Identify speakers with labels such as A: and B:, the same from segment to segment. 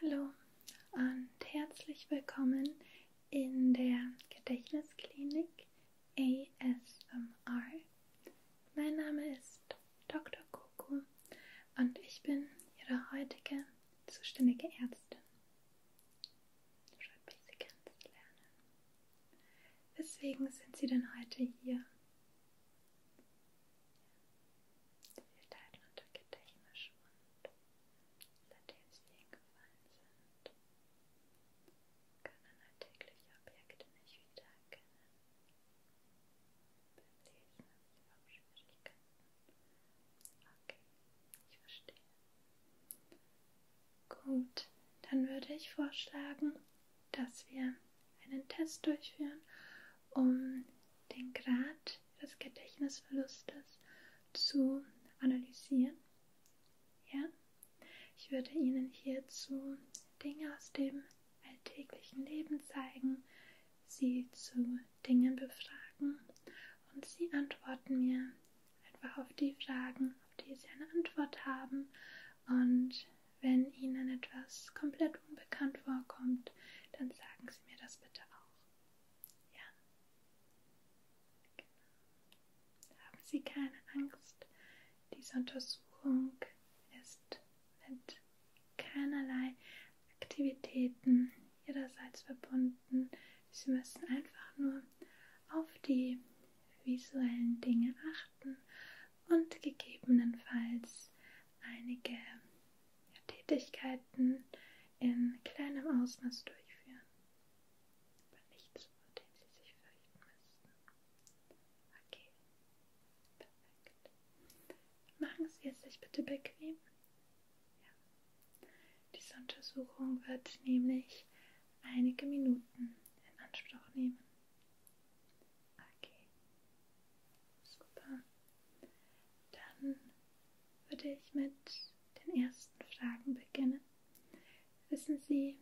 A: Hallo und herzlich willkommen in der Gedächtnisklinik ASMR. Mein Name ist Dr. Coco und ich bin Ihre heutige zuständige Ärztin. Schreibt mich Sie kennenzulernen. Weswegen sind Sie denn heute hier? Sie leiden unter Gedächtnisschwund, seitdem sie hingefallen sind, können alltägliche Objekte nicht wiedererkennen. Beim Lesen haben sie auch Schwierigkeiten. Okay, ich verstehe. Gut, dann würde ich vorschlagen, dass wir einen Test durchführen um den Grad des Gedächtnisverlustes zu analysieren. Ja? Ich würde Ihnen hierzu Dinge aus dem alltäglichen Leben zeigen, Sie zu Dingen befragen und Sie antworten mir einfach auf die Fragen, auf die Sie eine Antwort haben und wenn Ihnen etwas komplett unbekannt vorkommt, dann sagen Sie mir das bitte auch. Ja? Genau. Haben Sie keine Angst. Diese Untersuchung ist mit keinerlei Aktivitäten ihrerseits verbunden. Sie müssen einfach nur auf die visuellen Dinge achten und gegebenenfalls einige Tätigkeiten in kleinem Ausmaß durchführen, aber nichts, vor dem sie sich fürchten müssten. Okay, perfekt. Machen Sie es sich bitte bequem. Ja. Diese Untersuchung wird nämlich einige Minuten in Anspruch nehmen. Okay. Super. Dann würde ich mit den ersten Fragen beginnen. Wissen Sie,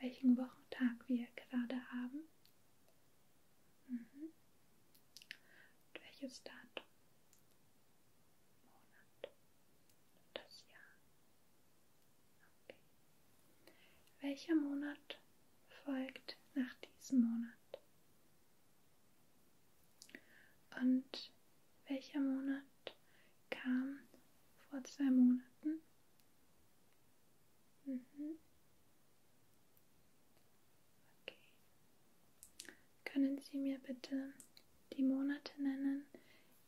A: welchen Wochentag wir gerade haben? Mhm. Und welches Datum? Monat? Das Jahr? Okay. Welcher Monat folgt nach diesem Monat. Und welcher Monat kam vor zwei Monaten? Mhm. Okay. Können Sie mir bitte die Monate nennen,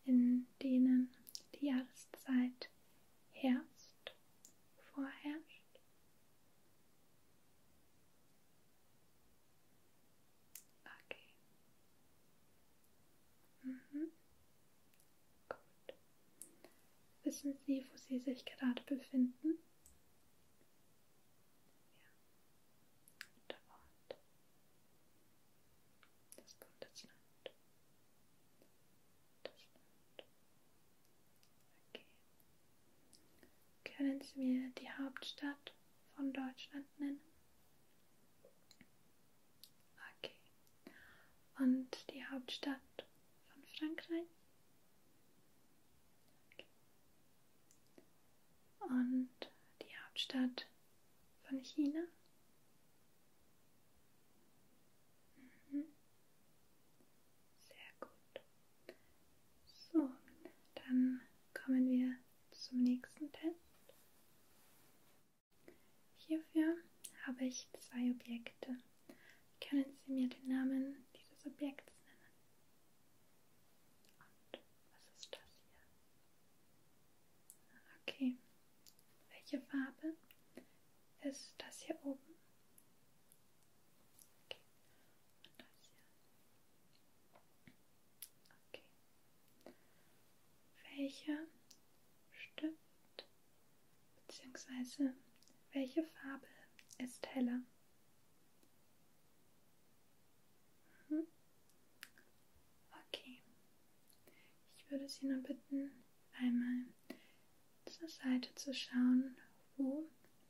A: in denen die Jahreszeit Herbst vorherrscht? Okay. Mhm. Gut. Wissen Sie, wo Sie sich gerade befinden? Ja. Der Ort. Das Bundesland. Das Land. Okay. Können Sie mir die Hauptstadt von Deutschland nennen? Okay. Und die Hauptstadt von Frankreich? Okay. Und die Hauptstadt von China? Mhm. Sehr gut. So, dann kommen wir zum nächsten Test. Hierfür habe ich zwei Objekte. Können Sie mir den Namen dieses Objekts nennen? Und was ist das hier? Okay. Welche Farbe ist das hier oben? Okay. Und das hier. Okay. Welcher Stift bzw. welche Farbe ist heller? Mhm. Okay. Ich würde Sie nur bitten, einmal zur Seite zu schauen, wo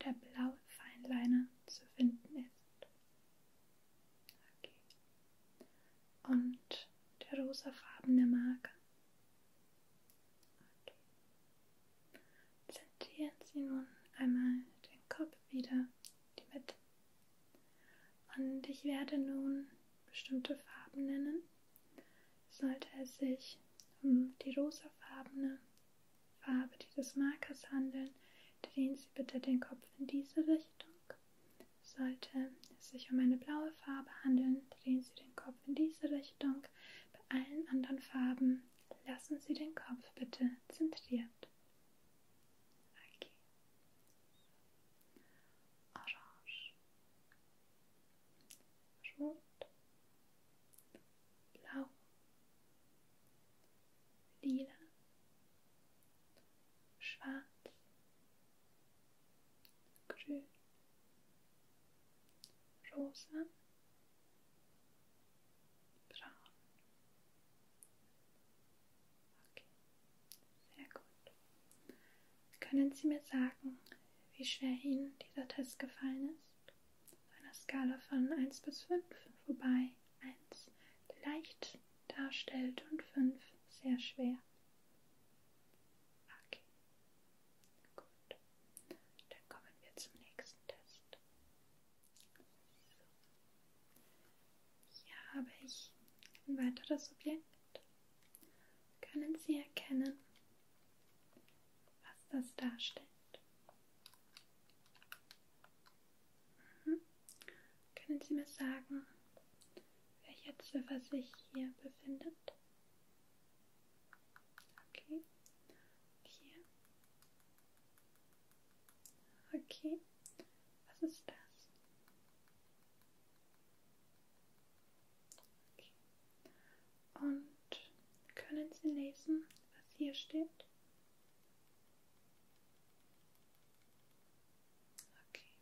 A: der blaue Feinliner zu finden ist. Okay. Und der rosafarbene Marker. Okay. Zentrieren Sie nun einmal den Kopf wieder, die Mitte. Und ich werde nun bestimmte Farben nennen sollte es sich um die rosafarbene Farbe dieses Markers handeln, drehen Sie bitte den Kopf in diese Richtung. Sollte es sich um eine blaue Farbe handeln, drehen Sie den Kopf in diese Richtung. Bei allen anderen Farben lassen Sie den Kopf bitte zentriert. Okay. Orange rot, blau, lila, schwarz, grün, rosa, braun. Okay, sehr gut. Können Sie mir sagen, wie schwer Ihnen dieser Test gefallen ist? einer Skala von 1 bis 5, wobei 1 leicht darstellt und 5 sehr schwer. Okay, gut. Dann kommen wir zum nächsten Test. So. Hier habe ich ein weiteres Objekt. Können Sie erkennen, was das darstellt. Mhm. Können Sie mir sagen, welcher Ziffer sich hier befindet? Okay. Hier. Okay. Was ist das? Okay. Und können Sie lesen, was hier steht? Okay.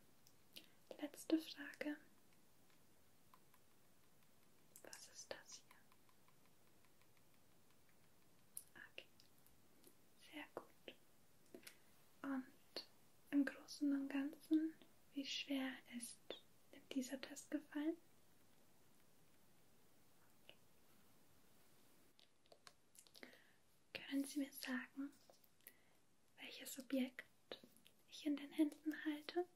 A: Letzte Frage. Was ist das hier? Okay. Sehr gut. Und im Großen und Ganzen, wie schwer ist hat dieser Test gefallen? Können Sie mir sagen, welches Objekt ich in den Händen halte?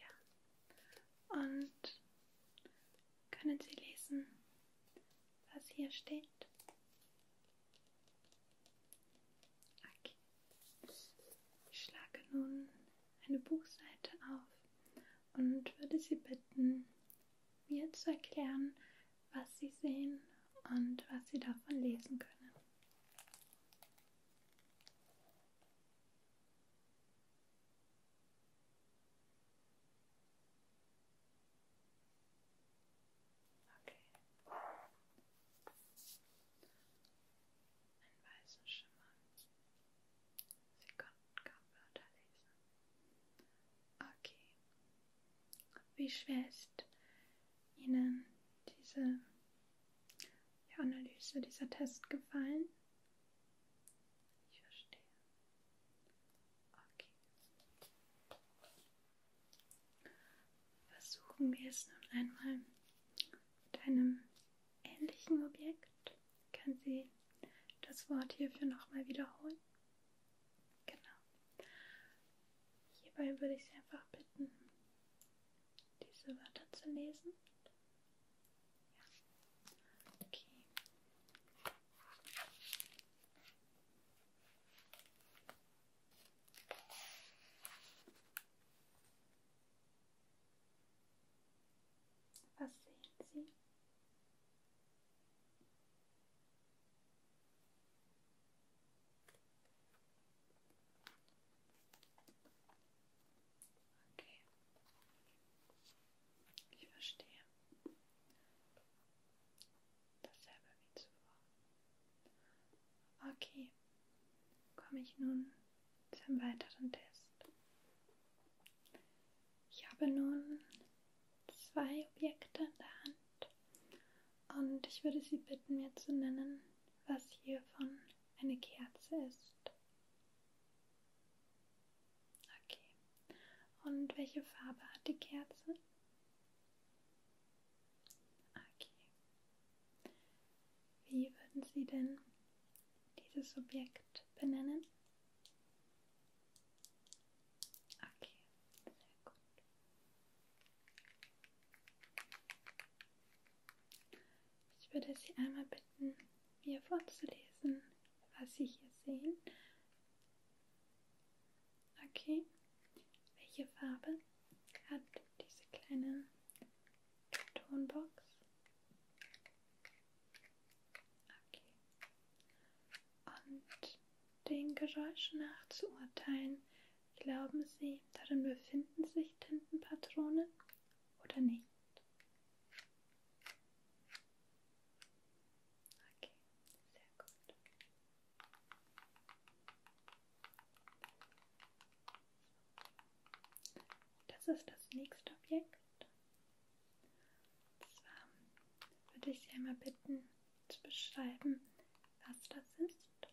A: Ja. Und können Sie lesen, was hier steht? Okay. Ich schlage nun eine Buchseite auf und würde Sie bitten, mir zu erklären, was Sie sehen und was Sie davon lesen können. Okay einen weißen Schimmer. Sie konnten kaum Wörter lesen. Okay. Wie schwer ist Ihnen diese die Analyse, dieser Test gefallen? Ich verstehe. Okay. Versuchen wir es nun einmal mit einem ähnlichen Objekt kann sie das Wort hierfür nochmal wiederholen. Genau. Hierbei würde ich Sie einfach bitten, diese Wörter zu lesen. Ja. Okay. Was sehen Sie? Okay. Ich verstehe. Dasselbe wie zuvor. Okay. Komme ich nun zu einem weiteren Test. Ich habe nun zwei Objekte in der Hand und ich würde Sie bitten, mir zu nennen, was hiervon eine Kerze ist. Okay. Und welche Farbe hat die Kerze? Okay. Wie würden Sie denn dieses Objekt benennen? Okay, sehr gut. Ich würde Sie einmal bitten, mir vorzulesen, was Sie hier sehen. Okay, welche Farbe hat diese kleine Tonbox. Okay. Und den Geräuschen nach zu urteilen, glauben Sie, darin befinden sich Tintenpatronen oder nicht? Okay, sehr gut. Das ist das nächste Objekt. Und zwar würde ich Sie einmal bitten, zu beschreiben, was das ist.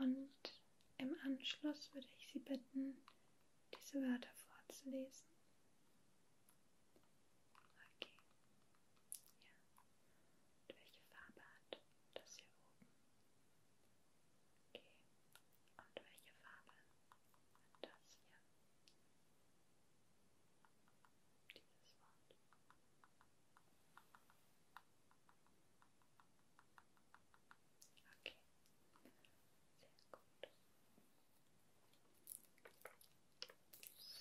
A: Und im Anschluss würde ich Sie bitten, diese Wörter vorzulesen. Okay. Ja. Und welche Farbe hat das hier oben? Okay. Und welche Farbe hat das hier? Dieses Wort. Okay.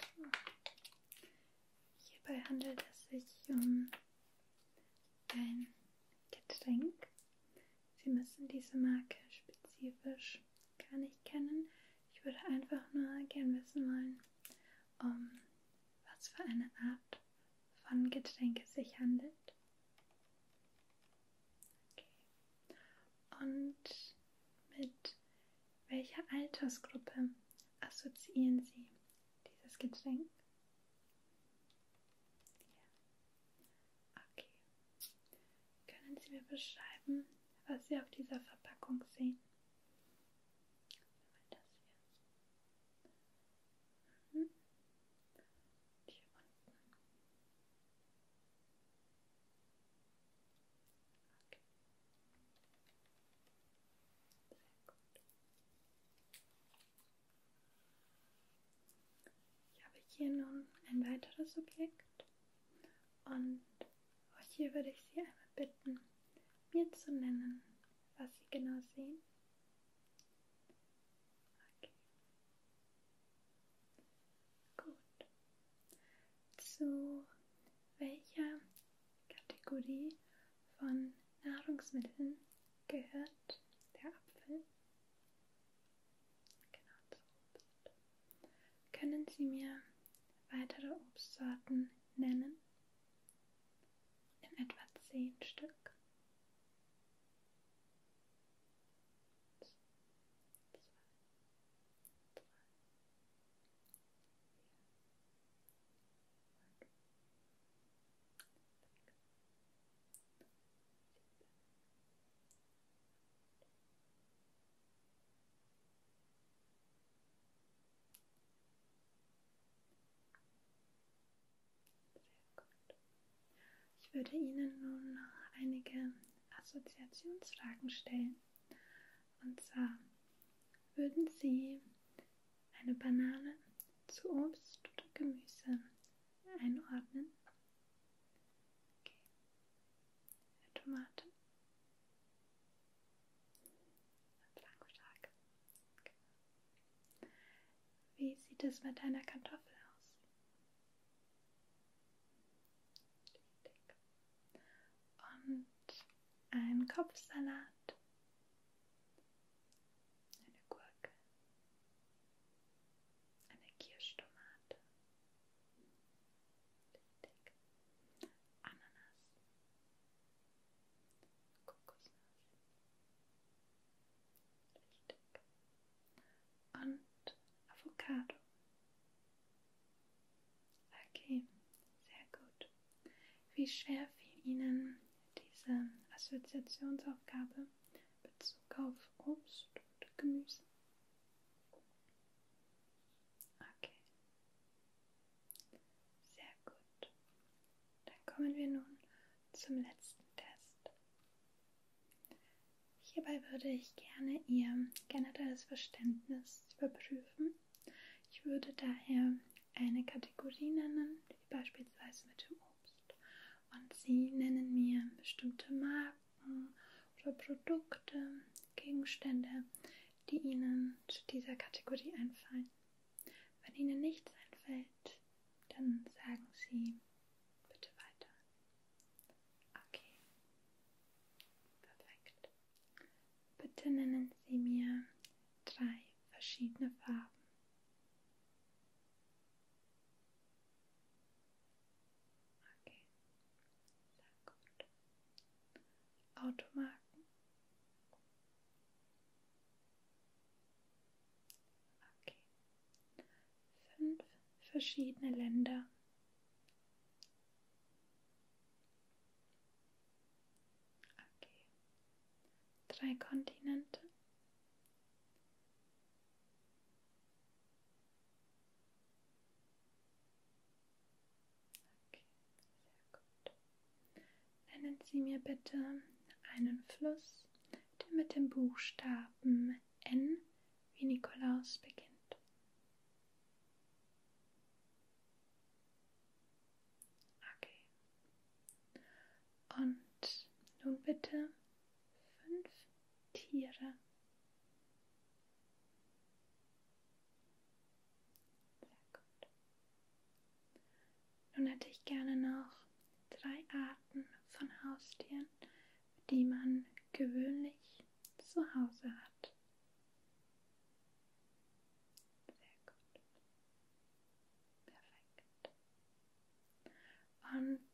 A: Sehr gut. So. Hierbei handelt es sich um dein Getränk. Sie müssen diese Marke spezifisch gar nicht kennen. Ich würde einfach nur gern wissen wollen, um was für eine Art von Getränk es sich handelt. Okay. Und mit welcher Altersgruppe assoziieren Sie dieses Getränk? Ja. Okay. Können Sie mir beschreiben, was Sie auf dieser Verpackung sehen? Das hier. Mhm. Hier unten. Okay. Sehr gut. Ich habe hier nun ein weiteres Objekt und auch hier würde ich Sie einmal bitten, mir zu nennen, was Sie genau sehen. Okay. Gut. Zu welcher Kategorie von Nahrungsmitteln gehört der Apfel. Genau, das Obst. Können Sie mir weitere Obstsorten nennen? In etwa zehn Stück. Zwei, drei, vier, ich würde Ihnen nun noch einige Assoziationsfragen stellen. Und zwar, würden Sie eine Banane zu Obst oder Gemüse einordnen. Okay. Eine Tomate. Blankoschlag. Okay. Wie sieht es mit einer Kartoffel aus? Und ein Kopfsalat eine Gurke, eine Kirschtomate, richtig, Ananas, Kokosnuss, richtig, und Avocado. Okay, sehr gut und wie schwer fiel Ihnen diese Assoziationsaufgabe in Bezug auf Obst und Gemüse? Okay. Sehr gut. Dann kommen wir nun zum letzten Test. Hierbei würde ich gerne Ihr generelles Verständnis überprüfen. Ich würde daher eine Kategorie nennen, wie beispielsweise mit dem Obst. Und Sie nennen mir bestimmte Marken oder Produkte, Gegenstände, die Ihnen zu dieser Kategorie einfallen. Wenn Ihnen nichts einfällt, dann sagen Sie bitte weiter. Okay. Perfekt. Bitte nennen Sie mir drei verschiedene Farben. Okay, sehr gut. Automarken. Okay. Fünf verschiedene Länder. Okay. Drei Kontinente. Okay, sehr gut. Nennen Sie mir bitte einen Fluss, der mit dem Buchstaben N wie Nikolaus beginnt. Okay. Und nun bitte fünf Tiere. Sehr gut. Nun hätte ich gerne noch drei Arten von Haustieren, die man gewöhnlich zu Hause hat. Sehr gut. Perfekt. Und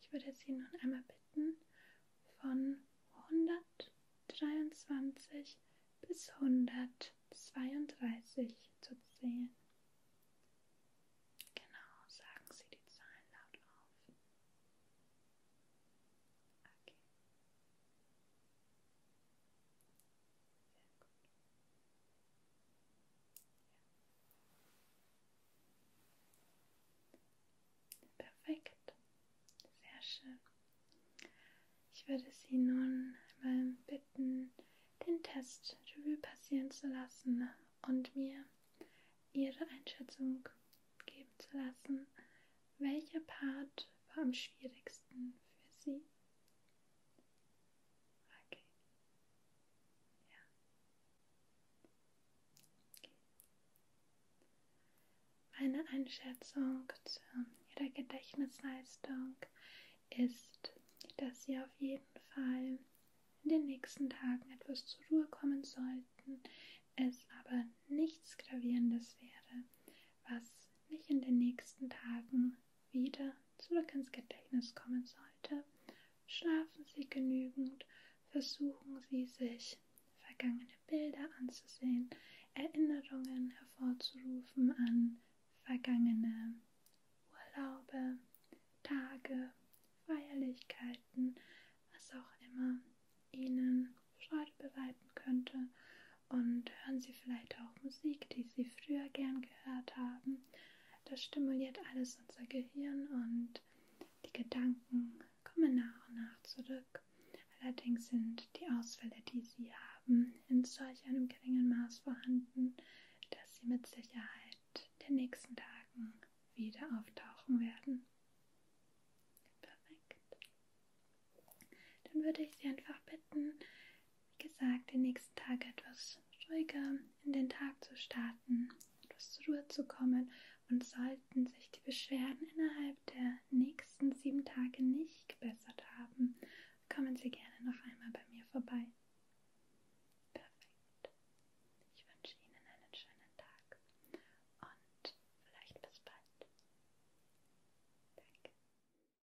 A: ich würde Sie nun einmal bitten, von 123 bis 132 zu zählen. Genau, sagen Sie die Zahlen laut auf. Okay. Ja. Perfekt, sehr schön. Ich würde Sie nun mal bitten, den Test Revue passieren zu lassen und mir Ihre Einschätzung geben zu lassen. Welcher Part war am schwierigsten für Sie? Okay. Ja. Okay. Meine Einschätzung zu ihrer Gedächtnisleistung ist, dass sie auf jeden Fall in den nächsten Tagen etwas zur Ruhe kommen sollten, es aber nichts Gravierendes wäre, was nicht in den nächsten Tagen wieder zurück ins Gedächtnis kommen sollte, schlafen Sie genügend, versuchen Sie sich vergangene Bilder anzusehen, Erinnerungen hervorzurufen an vergangene Urlaube, Tage, Feierlichkeiten, was auch immer Ihnen Freude bereiten könnte und hören Sie vielleicht auch Musik, die Sie früher gern gehört haben. Das stimuliert alles unser Gehirn und die Gedanken kommen nach und nach zurück. Allerdings sind die Ausfälle, die Sie haben, in solch einem geringen Maß vorhanden, dass Sie mit Sicherheit in den nächsten Tagen wieder auftauchen werden. Perfekt. Dann würde ich Sie einfach bitten, wie gesagt, den nächsten Tag etwas ruhiger in den Tag zu starten, etwas zur Ruhe zu kommen und sollten sich die Beschwerden innerhalb der nächsten sieben Tage nicht gebessert haben, kommen Sie gerne noch einmal bei mir vorbei. Perfekt. Ich wünsche Ihnen einen schönen Tag und vielleicht bis bald. Danke.